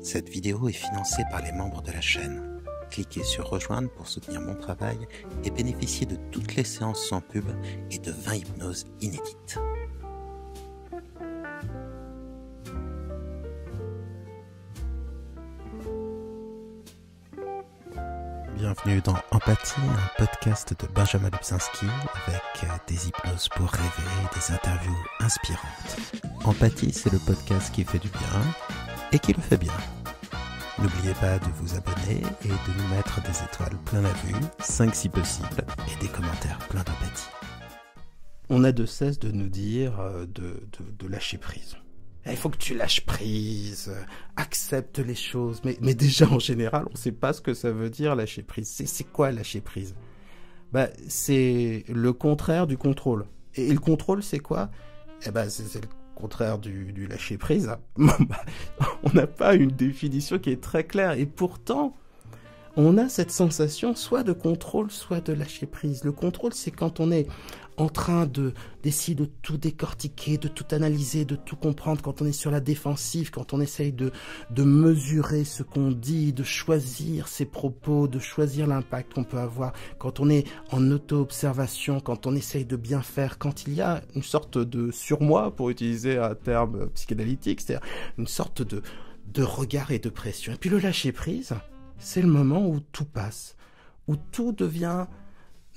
Cette vidéo est financée par les membres de la chaîne. Cliquez sur Rejoindre pour soutenir mon travail et bénéficier de toutes les séances sans pub et de 20 hypnoses inédites. Bienvenue dans Empathie, un podcast de Benjamin Lubzinski avec des hypnoses pour rêver, des interviews inspirantes. Empathie, c'est le podcast qui fait du bien et qui le fait bien. N'oubliez pas de vous abonner et de nous mettre des étoiles plein la vue, 5 si possible, et des commentaires pleins d'empathie. On a de cesse de nous dire euh, de, lâcher prise. Eh, il faut que tu lâches prise, accepte les choses. Mais, mais déjà, en général, on ne sait pas ce que ça veut dire lâcher prise. C'est quoi lâcher prise bah, c'est le contraire du contrôle. Et, le contrôle, c'est quoi eh ben, C'est le contraire du, lâcher-prise. on n'a pas une définition qui est très claire. Et pourtant, on a cette sensation soit de contrôle, soit de lâcher-prise. Le contrôle, c'est quand on est en train de d'essayer de tout décortiquer, de tout analyser, de tout comprendre, quand on est sur la défensive, quand on essaye de, de mesurer ce qu'on dit, de choisir ses propos, de choisir l'impact qu'on peut avoir, quand on est en auto-observation, quand on essaye de bien faire, quand il y a une sorte de surmoi, pour utiliser un terme psychanalytique, c'est-à-dire une sorte de, de regard et de pression. Et puis le lâcher-prise, c'est le moment où tout passe, où tout devient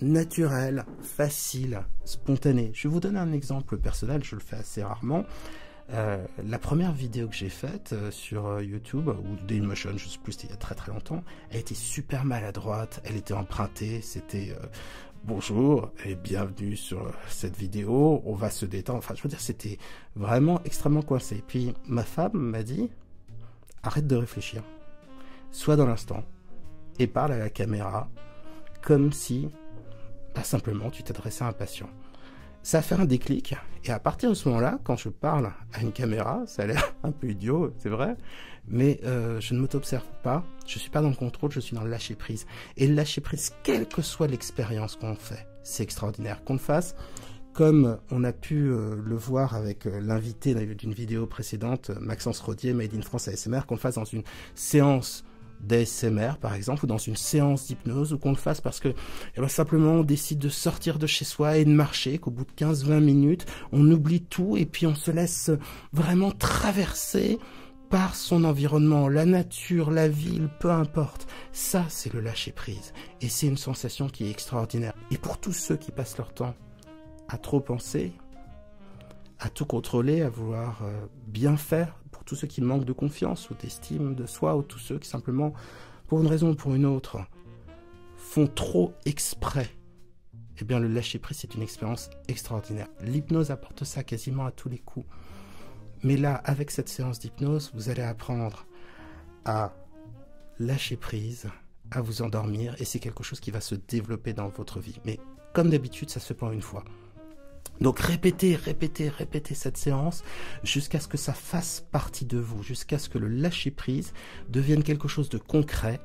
naturel, facile, spontané. Je vais vous donner un exemple personnel, je le fais assez rarement. Euh, la première vidéo que j'ai faite euh, sur euh, YouTube ou Daymotion, je sais plus, c'était il y a très très longtemps, elle était super maladroite, elle était empruntée, c'était bonjour et bienvenue sur cette vidéo, on va se détendre. Enfin, je veux dire, c'était vraiment extrêmement coincé. Et Puis ma femme m'a dit arrête de réfléchir, sois dans l'instant et parle à la caméra comme si, pas simplement, tu t'adressais à un patient ça fait un déclic. Et à partir de ce moment-là, quand je parle à une caméra, ça a l'air un peu idiot, c'est vrai, mais euh, je ne m'observe pas, je suis pas dans le contrôle, je suis dans le lâcher-prise. Et le lâcher-prise, quelle que soit l'expérience qu'on fait, c'est extraordinaire qu'on le fasse. Comme on a pu euh, le voir avec euh, l'invité d'une vidéo précédente, Maxence Rodier, Made in France ASMR, qu'on le fasse dans une séance d'ASMR, par exemple, ou dans une séance d'hypnose ou qu'on le fasse parce que eh ben, simplement on décide de sortir de chez soi et de marcher, qu'au bout de 15-20 minutes, on oublie tout et puis on se laisse vraiment traverser par son environnement, la nature, la ville, peu importe. Ça, c'est le lâcher-prise. Et c'est une sensation qui est extraordinaire. Et pour tous ceux qui passent leur temps à trop penser, à tout contrôler, à vouloir euh, bien faire, pour tous ceux qui manquent de confiance ou d'estime de soi ou tous ceux qui simplement, pour une raison ou pour une autre, font trop exprès. Eh bien, le lâcher prise, c'est une expérience extraordinaire. L'hypnose apporte ça quasiment à tous les coups. Mais là, avec cette séance d'hypnose, vous allez apprendre à lâcher prise, à vous endormir, et c'est quelque chose qui va se développer dans votre vie. Mais comme d'habitude, ça se prend une fois. Donc répétez, répétez, répétez cette séance jusqu'à ce que ça fasse partie de vous, jusqu'à ce que le lâcher-prise devienne quelque chose de concret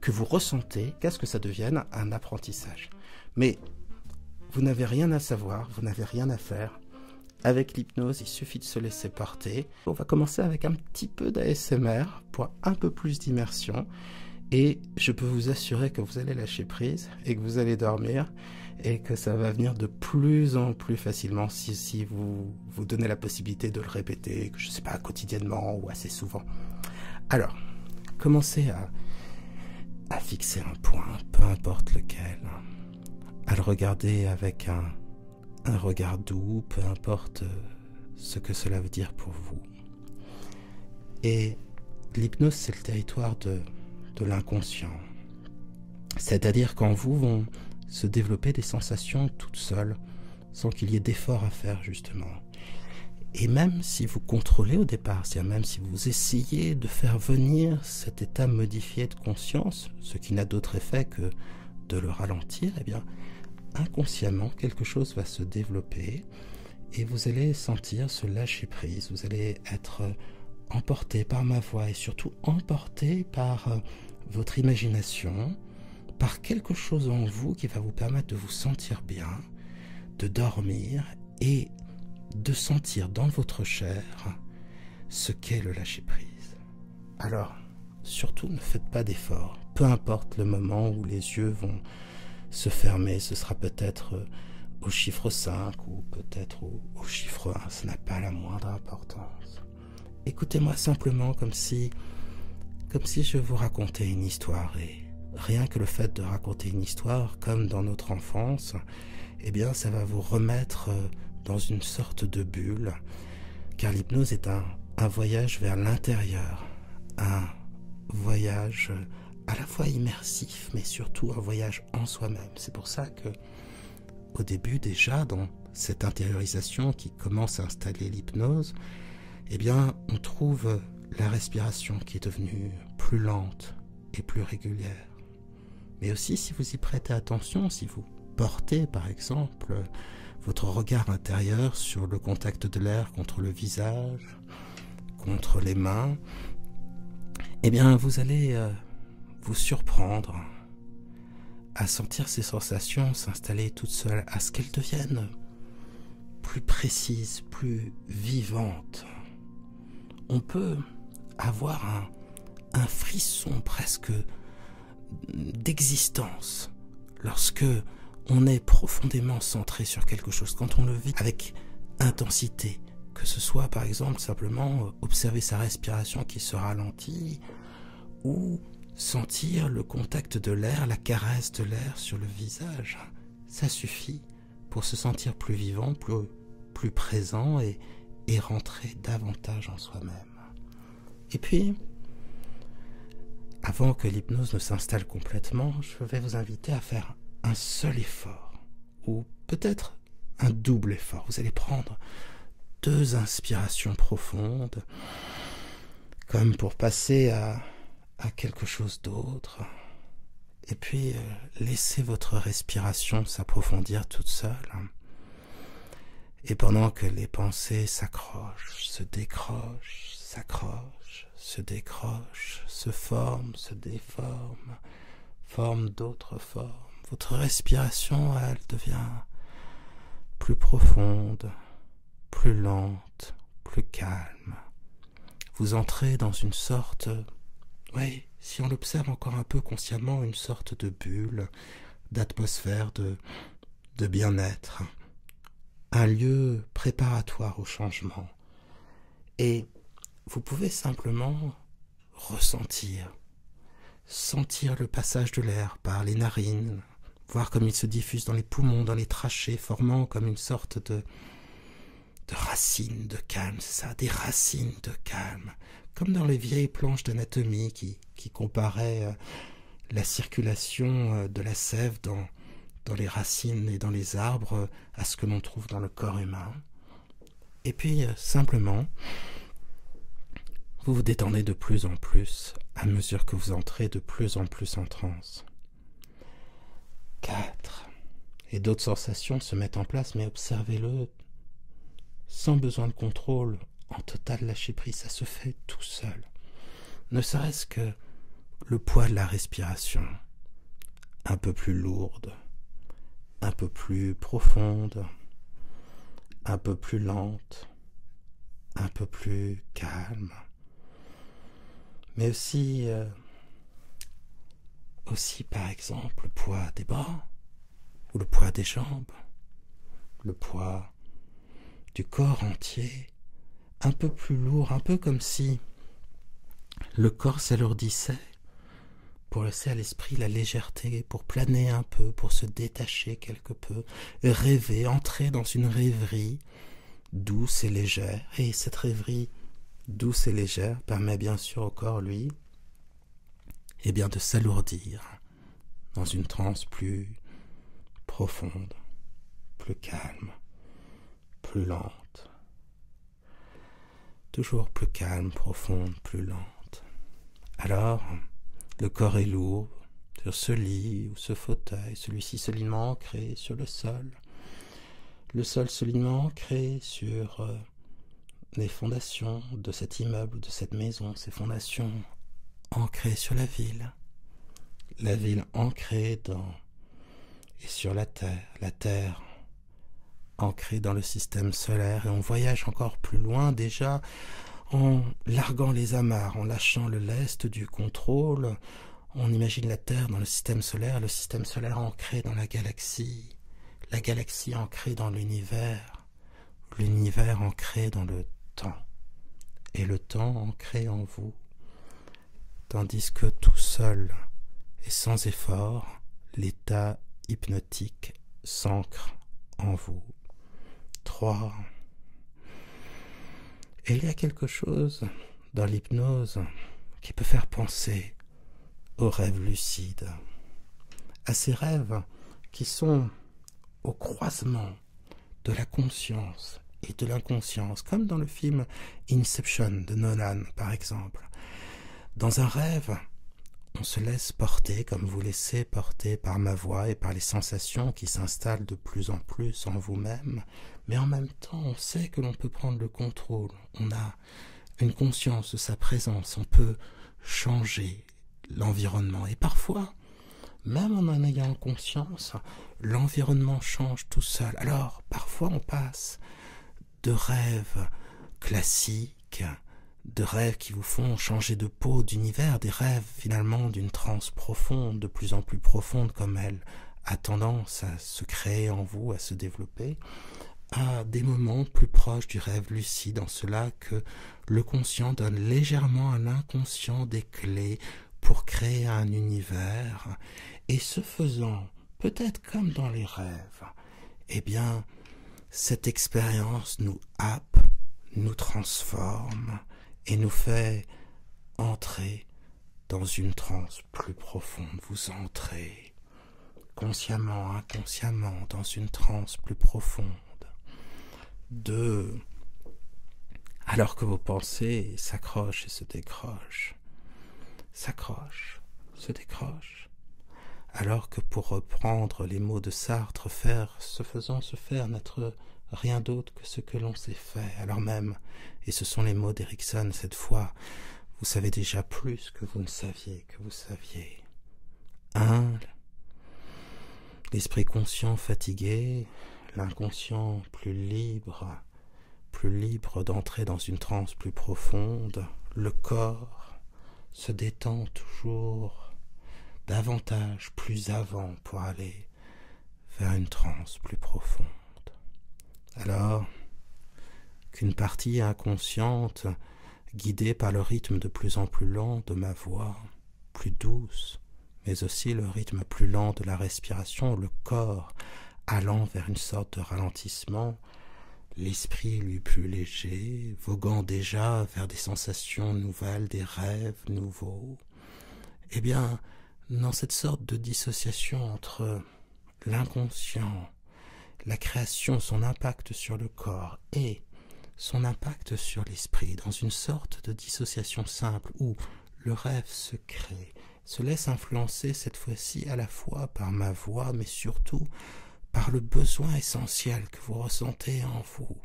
que vous ressentez, qu'à ce que ça devienne un apprentissage. Mais vous n'avez rien à savoir, vous n'avez rien à faire. Avec l'hypnose, il suffit de se laisser porter. On va commencer avec un petit peu d'ASMR pour un peu plus d'immersion. Et je peux vous assurer que vous allez lâcher prise et que vous allez dormir et que ça va venir de plus en plus facilement si, vous vous donnez la possibilité de le répéter, je ne sais pas, quotidiennement ou assez souvent. Alors, commencez à, fixer un point, peu importe lequel, à le regarder avec un, regard doux, peu importe euh, ce que cela veut dire pour vous. Et l'hypnose, c'est le territoire de l'inconscient, c'est-à-dire qu'en vous vont se développer des sensations toutes seules, sans qu'il y ait d'efforts à faire justement. Et même si vous contrôlez au départ, cest même si vous essayez de faire venir cet état modifié de conscience, ce qui n'a d'autre effet que de le ralentir, eh bien, inconsciemment, quelque chose va se développer et vous allez sentir ce lâcher prise, vous allez être emporté par ma voix et surtout emporté par euh, votre imagination, par quelque chose en vous qui va vous permettre de vous sentir bien, de dormir et de sentir dans votre chair ce qu'est le lâcher-prise. Alors, surtout ne faites pas d'efforts, peu importe le moment où les yeux vont se fermer, ce sera peut-être euh, au chiffre 5 ou peut-être au, chiffre 1 n'a pas la moindre importance. Écoutez-moi simplement comme si, comme si je vous racontais une histoire et rien que le fait de raconter une histoire comme dans notre enfance, eh bien ça va vous remettre euh, dans une sorte de bulle, car l'hypnose est un voyage vers l'intérieur, un voyage euh, à la fois immersif, mais surtout un voyage en soi-même. C'est pour ça que au début déjà dans cette intériorisation qui commence à installer l'hypnose, eh bien, on trouve la respiration qui est devenue plus lente et plus régulière. Mais aussi, si vous y prêtez attention, si vous portez par exemple votre regard intérieur sur le contact de l'air contre le visage, contre les mains, eh bien, vous allez euh, vous surprendre à sentir ces sensations s'installer toutes seules, à ce qu'elles deviennent plus précises, plus vivantes. On peut avoir un, un frisson presque d'existence lorsque on est profondément centré sur quelque chose, quand on le vit avec intensité, que ce soit par exemple simplement euh, observer sa respiration qui se ralentit ou sentir le contact de l'air, la caresse de l'air sur le visage. Ça suffit pour se sentir plus vivant, plus, présent et, et rentrer davantage en soi-même. Et puis, avant que l'hypnose ne s'installe complètement, je vais vous inviter à faire un seul effort ou peut-être un double effort. Vous allez prendre deux inspirations profondes, comme pour passer à, quelque chose d'autre. Et puis, euh, laissez votre respiration s'approfondir toute seule. Et pendant que les pensées s'accrochent, se décrochent, s'accrochent, se décrochent, se forment, se déforment, forme d'autres formes. Votre respiration, elle devient plus profonde, plus lente, plus calme. Vous entrez dans une sorte, oui, si on l'observe encore un peu consciemment, une sorte de bulle, d'atmosphère, de, de bien-être, un lieu préparatoire au changement. Et vous pouvez simplement ressentir, sentir le passage de l'air par les narines, voir comme il se diffuse dans les poumons, dans les trachées, formant comme une sorte de, de racines de calme, c'est ça, des racines de calme, comme dans les vieilles planches d'anatomie qui, comparaient euh, la circulation euh, de la sève dans, dans les racines et dans les arbres euh, à ce que l'on trouve dans le corps humain. Et puis euh, simplement, vous vous détendez de plus en plus à mesure que vous entrez de plus en plus en transe. 4. Et d'autres sensations se mettent en place, mais observez-le sans besoin de contrôle, en total lâcher prise, ça se fait tout seul. Ne serait-ce que le poids de la respiration, un peu plus lourde, un peu plus profonde, un peu plus lente, un peu plus calme, mais aussi, euh, aussi par exemple le poids des bras ou le poids des jambes, le poids du corps entier, un peu plus lourd, un peu comme si le corps s'alourdissait pour laisser à l'esprit la légèreté, pour planer un peu, pour se détacher quelque peu, rêver, entrer dans une rêverie douce et légère. Et cette rêverie douce et légère permet bien sûr au corps, lui, Et eh bien de s'alourdir dans une transe plus profonde, plus calme, plus lente, toujours plus calme, profonde, plus lente. Alors, le corps est lourd sur ce lit ou ce fauteuil, celui-ci solidement ancré sur le sol, le sol solidement ancré sur euh, les fondations de cet immeuble de cette maison, ces fondations ancrées sur la ville, la ville ancrée dans et sur la terre, la terre ancré dans le système solaire et on voyage encore plus loin déjà en larguant les amarres, en lâchant le lest du contrôle. On imagine la Terre dans le système solaire, le système solaire ancré dans la galaxie, la galaxie ancrée dans l'univers, l'univers ancré dans le temps, et le temps ancré en vous, tandis que tout seul et sans effort, l'état hypnotique en vous. 3. il y a quelque chose dans l'hypnose qui peut faire penser aux rêves lucides, à ces rêves qui sont au croisement de la conscience et de l'inconscience, comme dans le film Inception de Nolan par exemple. Dans un rêve, on se laisse porter comme vous laissez porter par ma voix et par les sensations qui s'installent de plus en plus en vous-même, mais en même temps on sait que l'on peut prendre le contrôle, on a une conscience de sa présence, on peut changer l'environnement et parfois, même en en ayant conscience, l'environnement change tout seul. Alors parfois on passe de rêves classiques, de rêves qui vous font changer de peau, d'univers, des rêves finalement d'une transe profonde, de plus en plus profonde comme elle a tendance à se créer en vous, à se développer, à des moments plus proches du rêve lucide, en cela que le conscient donne légèrement à l'inconscient des clés pour créer un univers, et ce faisant, peut-être comme dans les rêves, eh bien, cette expérience nous happe, nous transforme et nous fait entrer dans une transe plus profonde. Vous entrez consciemment, inconsciemment, dans une transe plus profonde de alors que vos pensées s'accrochent et se décrochent, s'accrochent, se décrochent. Alors que pour reprendre les mots de Sartre, faire, se faisant se faire, n'être rien d'autre que ce que l'on s'est fait, alors même, et ce sont les mots d'Erickson cette fois, vous savez déjà plus que vous ne saviez, que vous saviez. Un, l'esprit conscient fatigué, l'inconscient plus libre, plus libre d'entrer dans une transe plus profonde, le corps, se détend toujours davantage plus avant pour aller vers une transe plus profonde. Alors qu'une partie inconsciente, guidée par le rythme de plus en plus lent de ma voix, plus douce, mais aussi le rythme plus lent de la respiration, le corps allant vers une sorte de ralentissement, l'esprit lui plus léger, voguant déjà vers des sensations nouvelles, des rêves nouveaux. Eh bien, dans cette sorte de dissociation entre l'inconscient, la création, son impact sur le corps et son impact sur l'esprit, dans une sorte de dissociation simple où le rêve se crée, se laisse influencer cette fois-ci à la fois par ma voix, mais surtout par le besoin essentiel que vous ressentez en vous.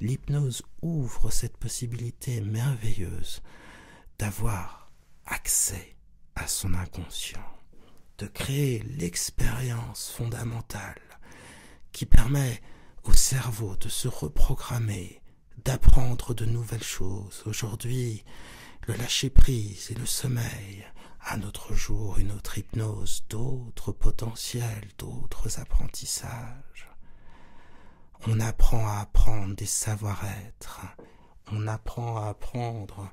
L'hypnose ouvre cette possibilité merveilleuse d'avoir accès à son inconscient, de créer l'expérience fondamentale qui permet au cerveau de se reprogrammer, d'apprendre de nouvelles choses. Aujourd'hui, le lâcher-prise et le sommeil à un autre jour, une autre hypnose, d'autres potentiels, d'autres apprentissages. On apprend à apprendre des savoir-être, on apprend à apprendre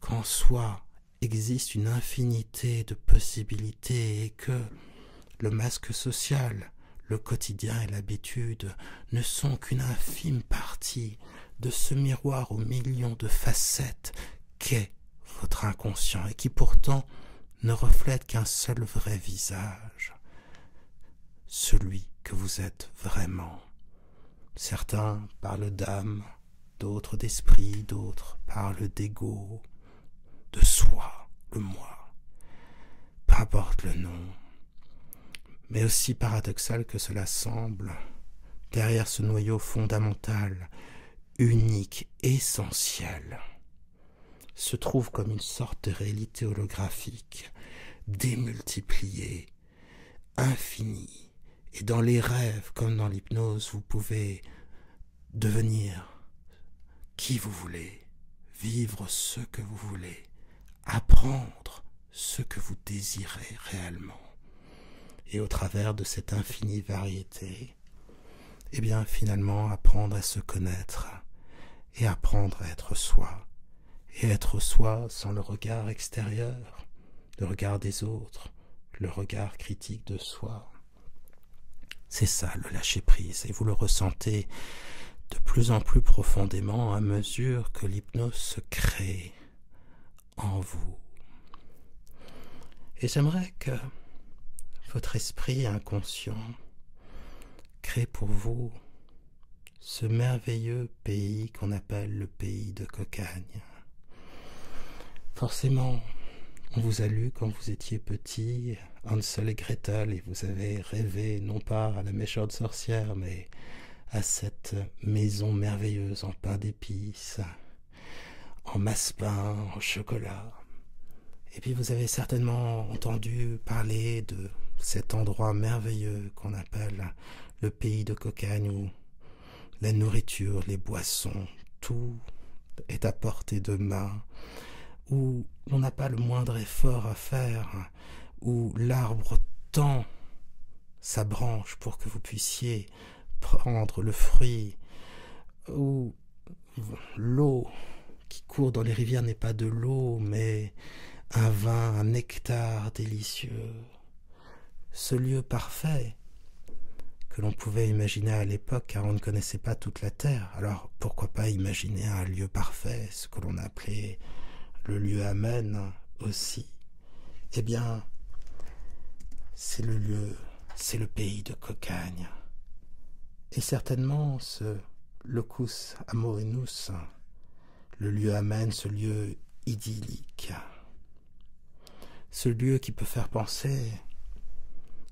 qu'en soi existe une infinité de possibilités et que le masque social, le quotidien et l'habitude ne sont qu'une infime partie de ce miroir aux millions de facettes qu'est votre inconscient et qui pourtant ne reflète qu'un seul vrai visage, celui que vous êtes vraiment. Certains parlent d'âme, d'autres d'esprit, d'autres parlent d'ego, de soi, le moi. Peu importe le nom. Mais aussi paradoxal que cela semble, derrière ce noyau fondamental, unique, essentiel, se trouve comme une sorte de réalité holographique, démultipliée, infinie. Et dans les rêves, comme dans l'hypnose, vous pouvez devenir qui vous voulez, vivre ce que vous voulez, apprendre ce que vous désirez réellement et au travers de cette infinie variété, eh bien finalement apprendre à se connaître et apprendre à être soi, et être soi sans le regard extérieur, le regard des autres, le regard critique de soi. C'est ça le lâcher-prise, et vous le ressentez de plus en plus profondément à mesure que l'hypnose se crée en vous. Et j'aimerais que votre esprit inconscient crée pour vous ce merveilleux pays qu'on appelle le pays de Cocagne. Forcément, on vous a lu quand vous étiez petit Hansel et Gretel et vous avez rêvé non pas à la méchante sorcière mais à cette maison merveilleuse en pain d'épices en massepain, en chocolat. Et puis vous avez certainement entendu parler de cet endroit merveilleux qu'on appelle le pays de Cocagne où la nourriture, les boissons, tout est à portée de main, où on n'a pas le moindre effort à faire, où l'arbre tend sa branche pour que vous puissiez prendre le fruit ou l'eau qui court dans les rivières n'est pas de l'eau, mais un vin, un nectar délicieux. Ce lieu parfait que l'on pouvait imaginer à l'époque, car on ne connaissait pas toute la Terre. Alors pourquoi pas imaginer un lieu parfait, ce que l'on appelait le lieu Amen aussi Eh bien, c'est le lieu c'est le pays de Cocagne. Et certainement ce locus amorinus, le lieu amène ce lieu idyllique, ce lieu qui peut faire penser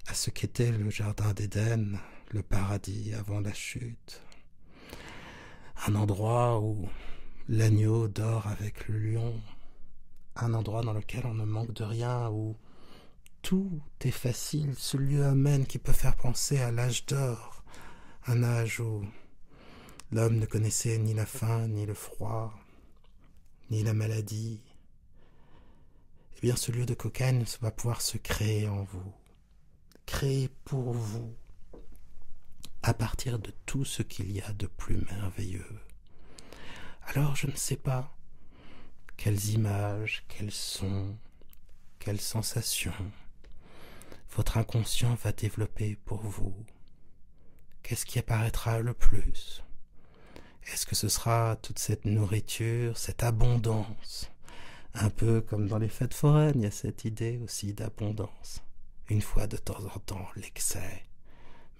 à ce qu'était le jardin d'Éden, le paradis avant la chute, un endroit où l'agneau dort avec le lion, un endroit dans lequel on ne manque de rien, où tout est facile, ce lieu amène qui peut faire penser à l'âge d'or, un âge où l'homme ne connaissait ni la faim, ni le froid, ni la maladie. Eh bien, ce lieu de cocagne va pouvoir se créer en vous, créer pour vous, à partir de tout ce qu'il y a de plus merveilleux. Alors je ne sais pas quelles images, quels sons, quelles sensations votre inconscient va développer pour vous. Qu'est-ce qui apparaîtra le plus Est-ce que ce sera toute cette nourriture, cette abondance Un peu comme dans les fêtes foraines, il y a cette idée aussi d'abondance. Une fois de temps en temps, l'excès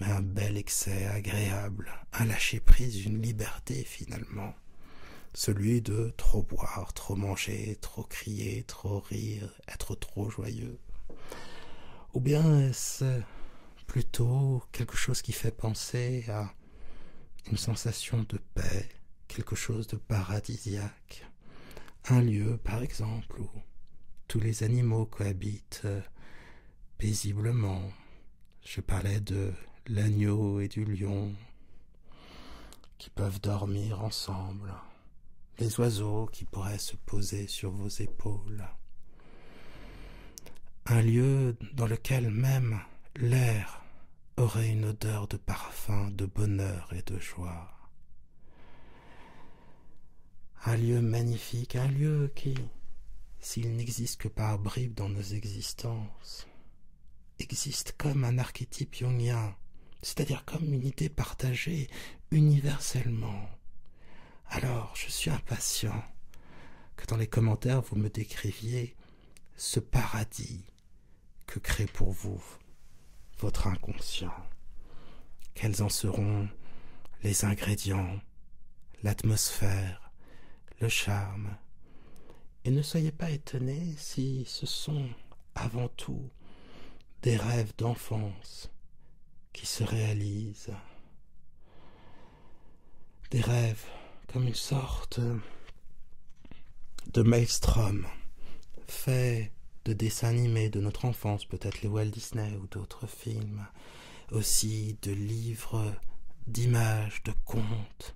mais un bel excès agréable, un lâcher-prise, une liberté finalement, celui de trop boire, trop manger, trop crier, trop rire, être trop joyeux. Ou bien est-ce plutôt quelque chose qui fait penser à une sensation de paix, quelque chose de paradisiaque, un lieu par exemple où tous les animaux cohabitent, paisiblement. Je parlais de l'agneau et du lion qui peuvent dormir ensemble, les oiseaux qui pourraient se poser sur vos épaules, un lieu dans lequel même l'air aurait une odeur de parfum, de bonheur et de joie. Un lieu magnifique, un lieu qui, s'il n'existe que par bribes dans nos existences, existe comme un archétype jungien, c'est-à-dire comme une idée partagée universellement. Alors, je suis impatient que dans les commentaires vous me décriviez ce paradis que crée pour vous votre inconscient. Quels en seront les ingrédients, l'atmosphère, le charme. Et ne soyez pas étonnés si ce sont avant tout des rêves d'enfance qui se réalisent. Des rêves comme une sorte de maelstrom fait de dessins animés de notre enfance, peut-être les Walt Disney ou d'autres films, aussi de livres, d'images, de contes,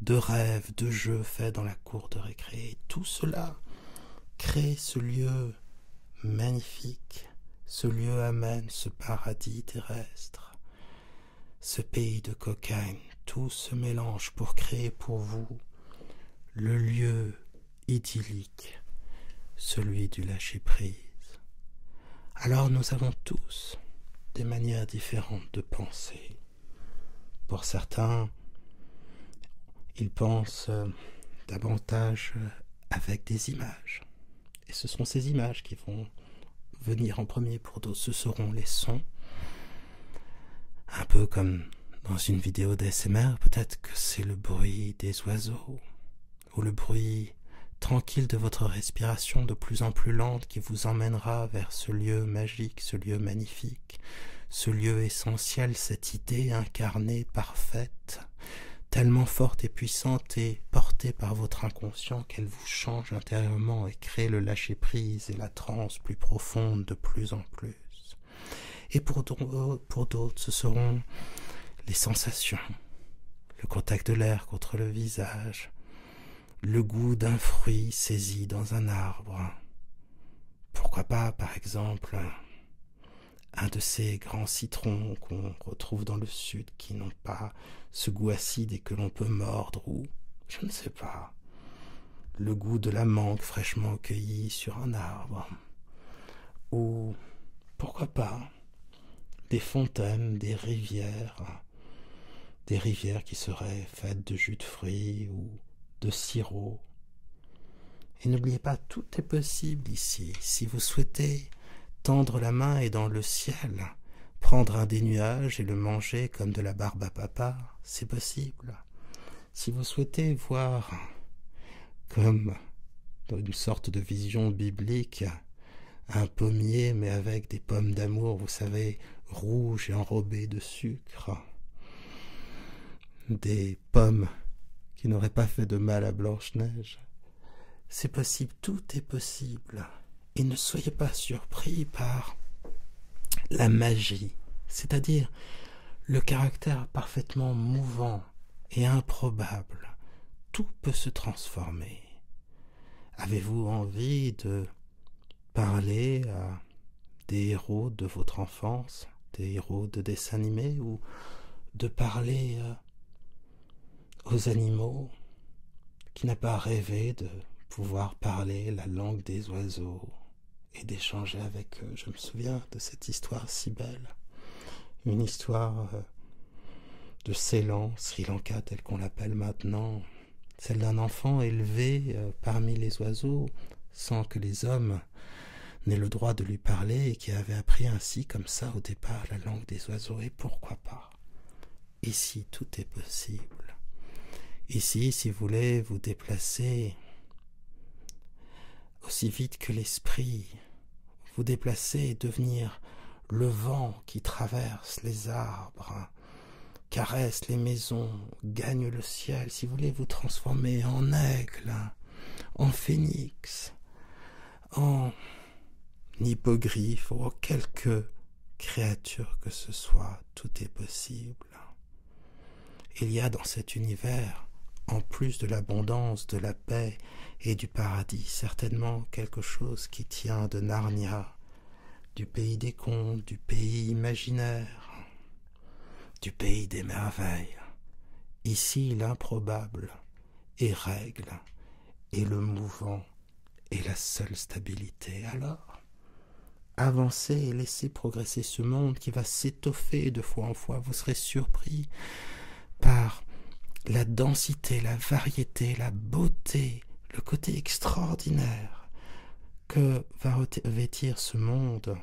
de rêves, de jeux faits dans la cour de récré. Tout cela crée ce lieu magnifique, ce lieu amène ce paradis terrestre, ce pays de cocaïne. Tout se mélange pour créer pour vous le lieu idyllique celui du lâcher-prise. Alors nous avons tous des manières différentes de penser. Pour certains, ils pensent euh, davantage euh, avec des images. Et ce sont ces images qui vont venir en premier pour d'autres, ce seront les sons. Un peu comme dans une vidéo dsmr peut-être que c'est le bruit des oiseaux, ou le bruit tranquille de votre respiration de plus en plus lente qui vous emmènera vers ce lieu magique, ce lieu magnifique, ce lieu essentiel, cette idée incarnée, parfaite, tellement forte et puissante et portée par votre inconscient qu'elle vous change intérieurement et crée le lâcher-prise et la transe plus profonde de plus en plus. Et pour d'autres, ce seront les sensations, le contact de l'air contre le visage, le goût d'un fruit saisi dans un arbre. Pourquoi pas, par exemple, un de ces grands citrons qu'on retrouve dans le sud qui n'ont pas ce goût acide et que l'on peut mordre ou, je ne sais pas, le goût de la mangue fraîchement cueillie sur un arbre. Ou, pourquoi pas, des fontaines, des rivières, des rivières qui seraient faites de jus de fruits ou de sirop. Et n'oubliez pas, tout est possible ici. Si vous souhaitez tendre la main et dans le ciel, prendre un des nuages et le manger comme de la barbe à papa, c'est possible. Si vous souhaitez voir comme dans une sorte de vision biblique un pommier, mais avec des pommes d'amour, vous savez, rouges et enrobées de sucre. Des pommes qui n'auraient pas fait de mal à Blanche-Neige. C'est possible, tout est possible. Et ne soyez pas surpris par la magie, c'est-à-dire le caractère parfaitement mouvant et improbable. Tout peut se transformer. Avez-vous envie de parler à des héros de votre enfance, des héros de dessins animés, ou de parler euh, aux animaux Qui n'a pas rêvé de pouvoir parler la langue des oiseaux et d'échanger avec eux Je me souviens de cette histoire si belle. Une histoire euh, de Ceylan, Sri Lanka tel qu'on l'appelle maintenant, celle d'un enfant élevé euh, parmi les oiseaux sans que les hommes n'aient le droit de lui parler et qui avait appris ainsi comme ça au départ la langue des oiseaux et pourquoi pas. Ici tout est possible. Ici, si vous voulez vous déplacer aussi vite que l'esprit, vous déplacer et devenir le vent qui traverse les arbres, hein. caresse les maisons, gagne le ciel, si vous voulez vous transformer en aigle, hein, en phénix, en hippogriffe ou en quelque créature que ce soit, tout est possible. Hein. Il y a dans cet univers, en plus de l'abondance, de la paix et du paradis, certainement quelque chose qui tient de Narnia, du pays des contes, du pays imaginaire, du pays des merveilles. Ici l'improbable est règle, et le mouvant est la seule stabilité. Alors, avancez et laissez progresser ce monde qui va s'étoffer de fois en fois, vous serez surpris par la densité, la variété, la beauté, le côté extraordinaire que va revêtir ce monde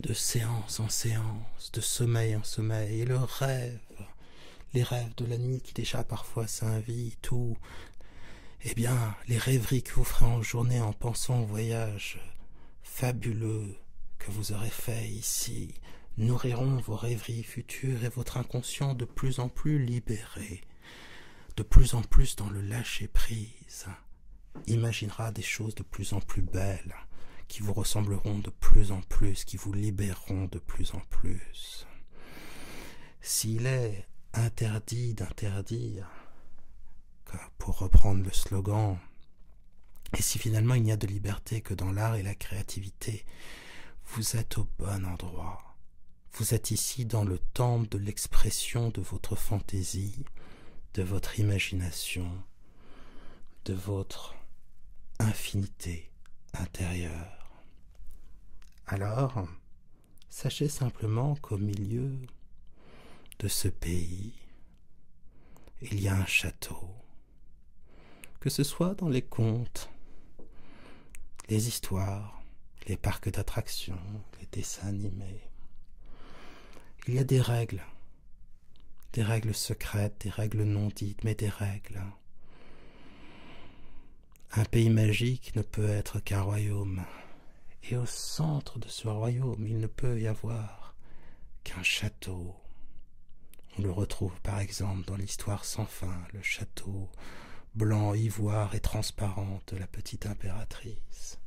de séance en séance, de sommeil en sommeil, et le rêve, les rêves de la nuit qui déjà parfois s'invitent, Tout, eh bien, les rêveries que vous ferez en journée en pensant au voyage fabuleux que vous aurez fait ici, nourriront vos rêveries futures et votre inconscient de plus en plus libéré, de plus en plus dans le lâcher-prise, imaginera des choses de plus en plus belles, qui vous ressembleront de plus en plus, qui vous libéreront de plus en plus. S'il est interdit d'interdire, pour reprendre le slogan et si finalement il n'y a de liberté que dans l'art et la créativité, vous êtes au bon endroit. Vous êtes ici dans le temple de l'expression de votre fantaisie, de votre imagination, de votre infinité intérieure. Alors, sachez simplement qu'au milieu de ce pays, il y a un château que ce soit dans les contes, les histoires, les parcs d'attractions, les dessins animés. Il y a des règles, des règles secrètes, des règles non dites, mais des règles. Un pays magique ne peut être qu'un royaume, et au centre de ce royaume il ne peut y avoir qu'un château. On le retrouve par exemple dans l'histoire sans fin, le château blanc, ivoire et transparent de la petite impératrice.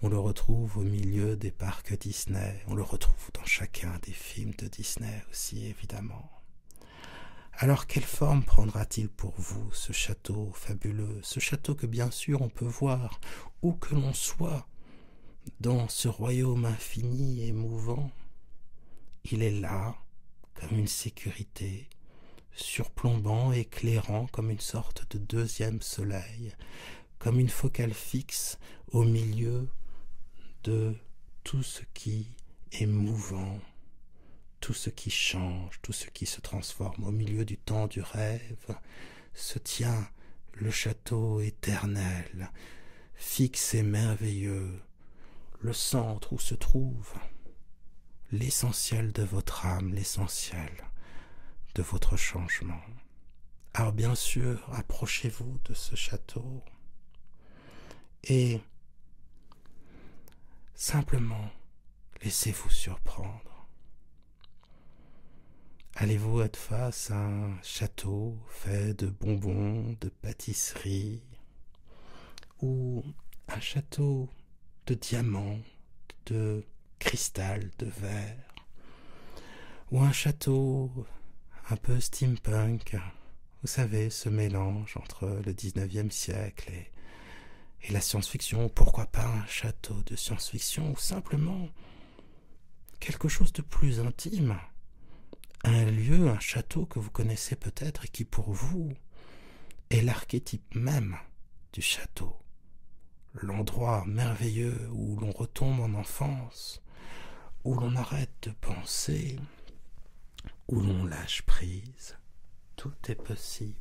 On le retrouve au milieu des parcs Disney, on le retrouve dans chacun des films de Disney aussi évidemment. Alors quelle forme prendra-t-il pour vous ce château fabuleux, ce château que bien sûr on peut voir où que l'on soit dans ce royaume infini et mouvant, il est là comme une sécurité, surplombant, éclairant comme une sorte de deuxième soleil, comme une focale fixe au milieu de tout ce qui est mouvant, tout ce qui change, tout ce qui se transforme au milieu du temps du rêve, se tient le château éternel, fixe et merveilleux le centre où se trouve l'essentiel de votre âme, l'essentiel de votre changement. Alors bien sûr, approchez-vous de ce château et simplement laissez-vous surprendre. Allez-vous être face à château fait de bonbons, de pâtisseries, ou un château de diamants, de cristal, de verre, ou un château un peu steampunk, vous savez, ce mélange entre le 19e siècle et, et la science-fiction, pourquoi pas un château de science-fiction, ou simplement quelque chose de plus intime, un lieu, un château que vous connaissez peut-être et qui pour vous est l'archétype même du château, l'endroit merveilleux où l'on retombe en enfance, où l'on arrête de penser, où l'on lâche prise. Tout est possible.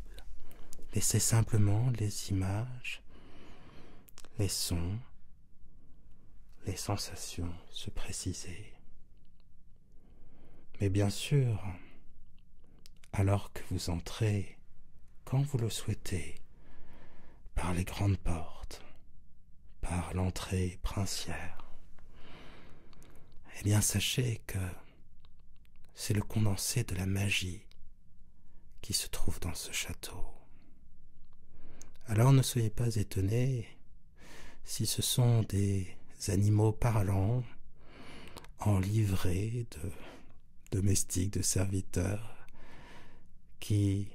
Laissez simplement les images, les sons, les sensations se précisaient. Mais bien sûr, alors que vous entrez, quand vous le souhaitez, par les grandes portes, par l'entrée princière, eh bien sachez que c'est le condensé de la magie qui se trouve dans ce château. Alors ne soyez pas étonnés si ce sont des animaux parlants, en livrée de domestiques, de serviteurs, qui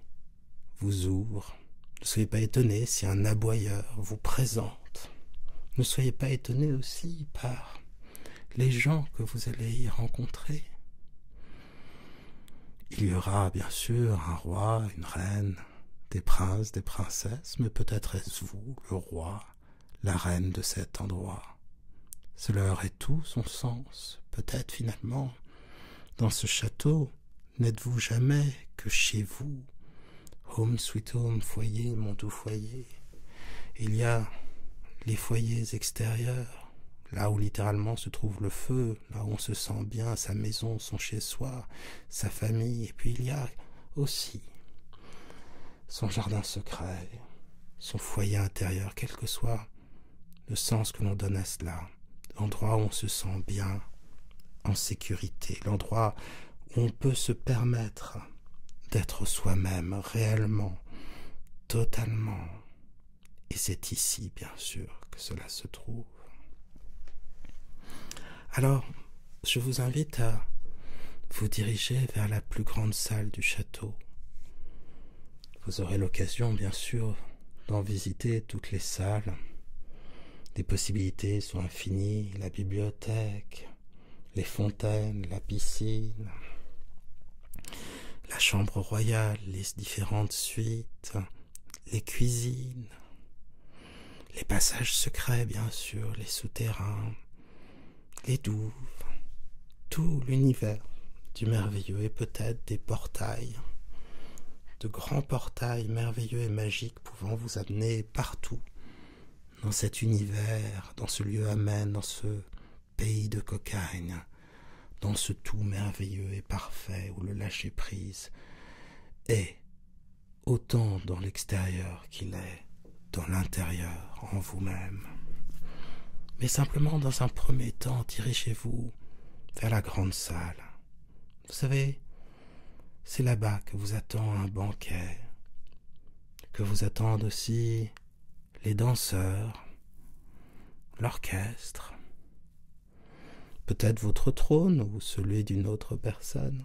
vous ouvrent. Ne soyez pas étonnés si un aboyeur vous présente. Ne soyez pas étonné aussi par les gens que vous allez y rencontrer. Il y aura bien sûr un roi, une reine, des princes, des princesses, mais peut-être est-ce vous, le roi, la reine de cet endroit. Cela aurait tout son sens, peut-être finalement. Dans ce château, n'êtes-vous jamais que chez vous Home sweet home, foyer, mon tout foyer. Il y a les foyers extérieurs, là où littéralement se trouve le feu, là bah, où on se sent bien, sa maison, son chez-soi, sa famille, et puis il y a aussi son jardin secret, son foyer intérieur, quel que soit le sens que l'on donne à cela, l'endroit où on se sent bien, en sécurité, l'endroit où on peut se permettre d'être soi-même réellement, totalement. Et c'est ici, bien sûr, que cela se trouve. Alors, je vous invite à vous diriger vers la plus grande salle du château. Vous aurez l'occasion, bien sûr, d'en visiter toutes les salles. Les possibilités sont infinies, la bibliothèque, les fontaines, la piscine, la chambre royale, les différentes suites, les cuisines, les passages secrets bien sûr, les souterrains, les douves, tout l'univers du merveilleux et peut-être des portails, de grands portails merveilleux et magiques pouvant vous amener partout dans cet univers, dans ce lieu amène, dans ce pays de cocagne, dans ce tout merveilleux et parfait où le lâcher-prise est autant dans l'extérieur qu'il est dans l'intérieur, en vous-même. Mais simplement, dans un premier temps, tirez chez vous vers la grande salle. Vous savez, c'est là-bas que vous attend un banquet, que vous attendent aussi les danseurs, l'orchestre, peut-être votre trône ou celui d'une autre personne,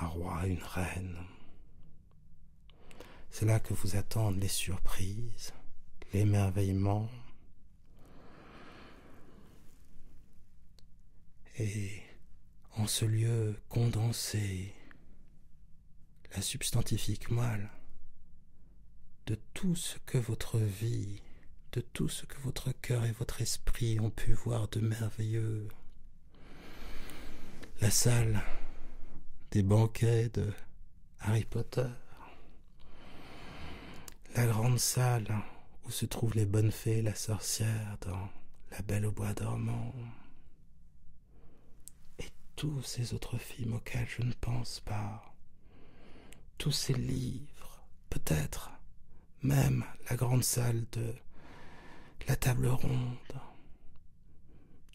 un roi, une reine. C'est là que vous attendent les surprises, l'émerveillement. Et en ce lieu condensé, la substantifique moelle de tout ce que votre vie, de tout ce que votre cœur et votre esprit ont pu voir de merveilleux. La salle des banquets de Harry Potter, la grande salle où se trouvent les bonnes fées la sorcière dans La Belle au Bois dormant, et tous ces autres films auxquels je ne pense pas, tous ces livres peut-être même la grande salle de la table ronde,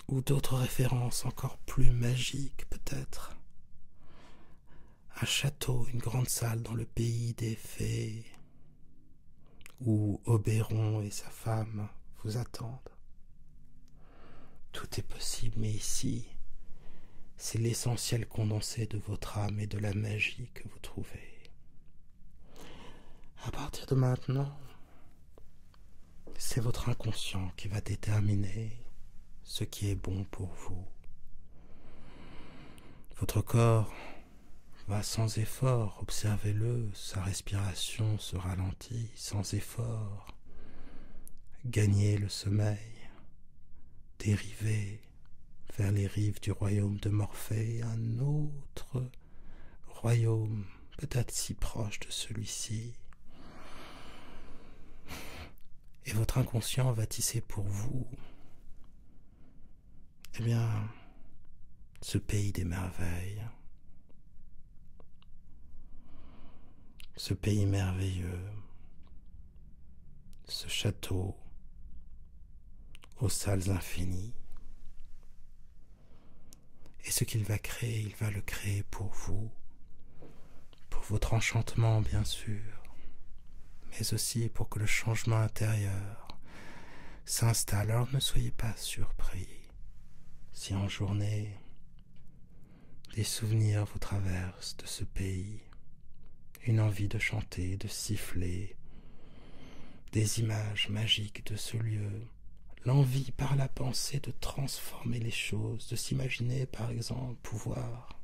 ou d'autres références encore plus magiques peut-être. Un château, une grande salle dans le pays des fées, où Obéron et sa femme vous attendent. Tout est possible, mais ici, c'est l'essentiel condensé de votre âme et de la magie que vous trouvez. À partir de maintenant, c'est votre inconscient qui va déterminer ce qui est bon pour vous. Votre corps va sans effort, observez-le, sa respiration se ralentit sans effort. gagner le sommeil, dériver vers les rives du royaume de Morphée, un autre royaume, peut-être si proche de celui-ci. Et votre inconscient va tisser pour vous, eh bien, ce pays des merveilles, ce pays merveilleux, ce château aux salles infinies. Et ce qu'il va créer, il va le créer pour vous, pour votre enchantement bien sûr, mais aussi pour que le changement intérieur s'installe. Alors ne soyez pas surpris si en journée des souvenirs vous traversent de ce pays, une envie de chanter, de siffler, des images magiques de ce lieu, l'envie par la pensée de transformer les choses, de s'imaginer par exemple pouvoir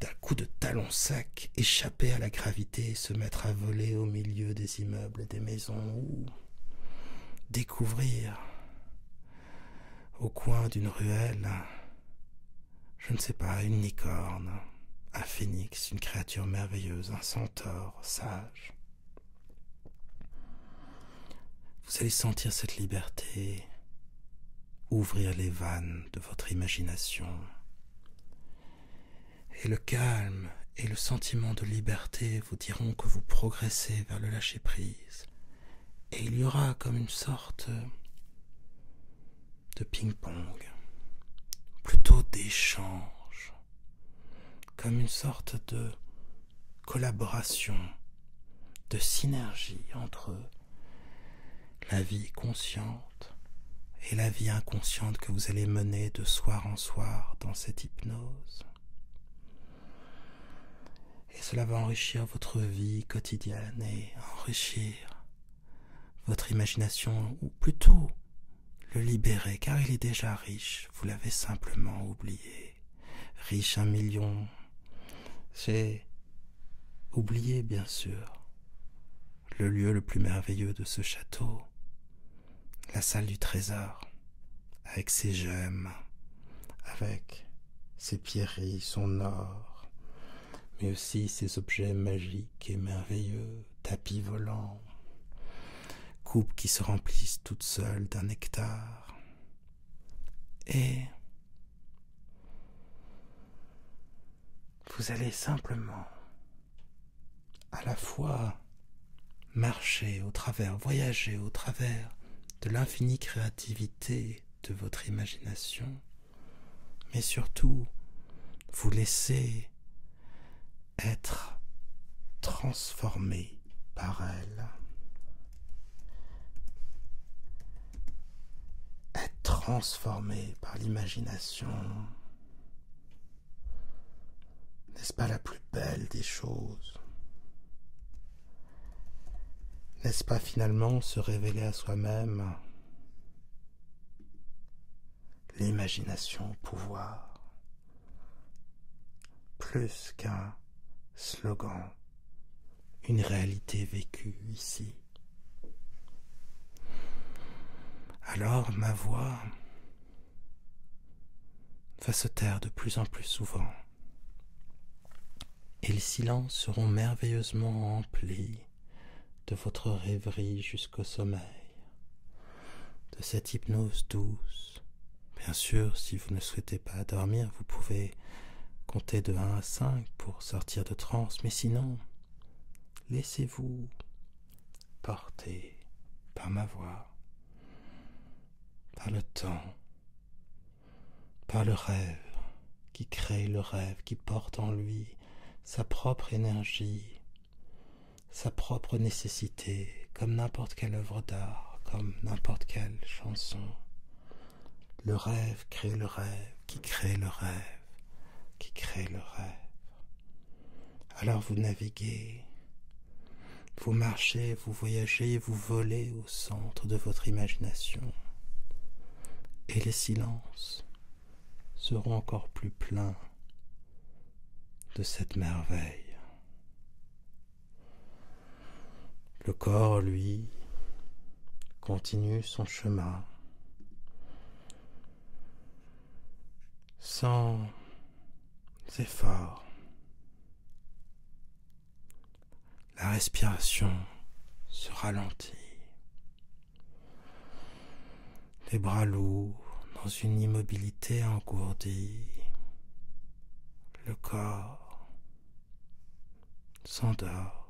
d'un coup de talon sec échapper à la gravité se mettre à voler au milieu des immeubles et des maisons ou découvrir au coin d'une ruelle, je ne sais pas, une licorne, un phénix, une créature merveilleuse, un centaure sage. Vous allez sentir cette liberté ouvrir les vannes de votre imagination. Et le calme et le sentiment de liberté vous diront que vous progressez vers le lâcher-prise, et il y aura comme une sorte euh, de ping-pong, plutôt d'échange, comme une sorte de collaboration, de synergie entre la vie consciente et la vie inconsciente que vous allez mener de soir en soir dans cette hypnose et cela va enrichir votre vie quotidienne et enrichir votre imagination, ou plutôt le libérer, car il est déjà riche, vous l'avez simplement oublié. Riche un million, C'est oublié bien sûr le lieu le plus merveilleux de ce château, la salle du trésor, avec ses gemmes, avec ses pierreries, son or, mais aussi ses objets magiques et merveilleux, tapis volants, coupes qui se remplissent toutes seules d'un nectar. Et vous allez simplement à la fois marcher au travers, voyager au travers de l'infinie créativité de votre imagination mais surtout vous laissez être transformé par elle. Être transformé par l'imagination. N'est-ce pas la plus belle des choses n'est-ce pas finalement se révéler à soi-même l'imagination pouvoir plus qu'un slogan, une réalité vécue ici. Alors ma voix va se taire de plus en plus souvent et les silences seront merveilleusement remplis de votre rêverie jusqu'au sommeil, de cette hypnose douce. Bien sûr, si vous ne souhaitez pas dormir, vous pouvez compter de 1 à 5 pour sortir de transe, mais sinon, laissez-vous porter par ma voix, par le temps, par le rêve qui crée le rêve, qui porte en lui sa propre énergie, sa propre nécessité, comme n'importe quelle œuvre d'art, comme n'importe quelle chanson. Le rêve crée le rêve, qui crée le rêve, qui crée le rêve. Alors vous naviguez, vous marchez, vous voyagez, vous volez centre de votre imagination et les silences seront encore plus pleins de cette merveille. Le corps, lui, continue son chemin sans effort. La respiration se ralentit. Les bras lourds dans une immobilité engourdie. Le corps s'endort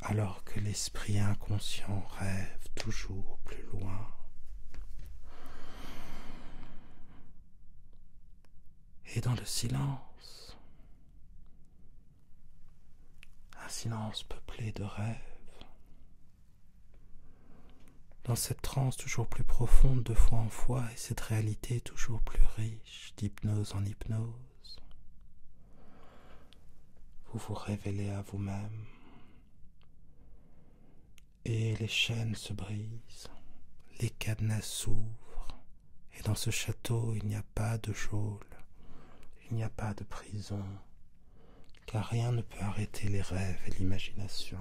alors que l'esprit inconscient rêve toujours plus loin. Et dans le silence, un silence peuplé de rêves. Dans cette transe toujours plus profonde de fois en fois et cette réalité toujours plus riche d'hypnose en hypnose, vous vous révélez à vous-même et les chaînes se brisent, les cadenas s'ouvrent, et dans ce château, il n'y a pas de geôle, il n'y a pas de prison, car rien ne peut arrêter les rêves et l'imagination.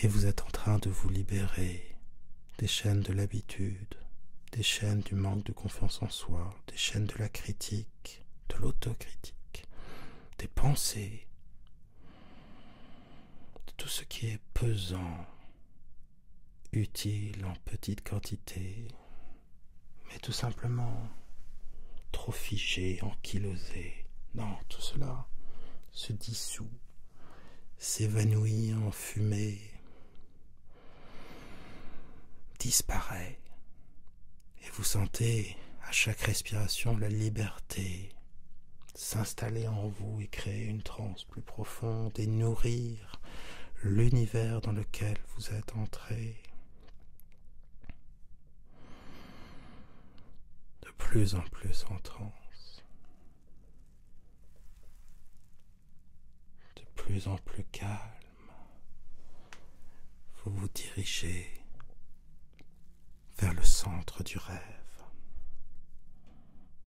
Et vous êtes en train de vous libérer des chaînes de l'habitude, des chaînes du manque de confiance en soi, des chaînes de la critique, de l'autocritique, des pensées de tout ce qui est pesant, utile en petite quantité, mais tout simplement trop figé, ankylosé. Non, tout cela se dissout, s'évanouit en fumée, disparaît, et vous sentez à chaque respiration la liberté s'installer en vous et créer une transe plus profonde et nourrir l'univers dans lequel vous êtes entré. De plus en plus en transe. De plus en plus calme. Vous vous dirigez vers le centre du rêve.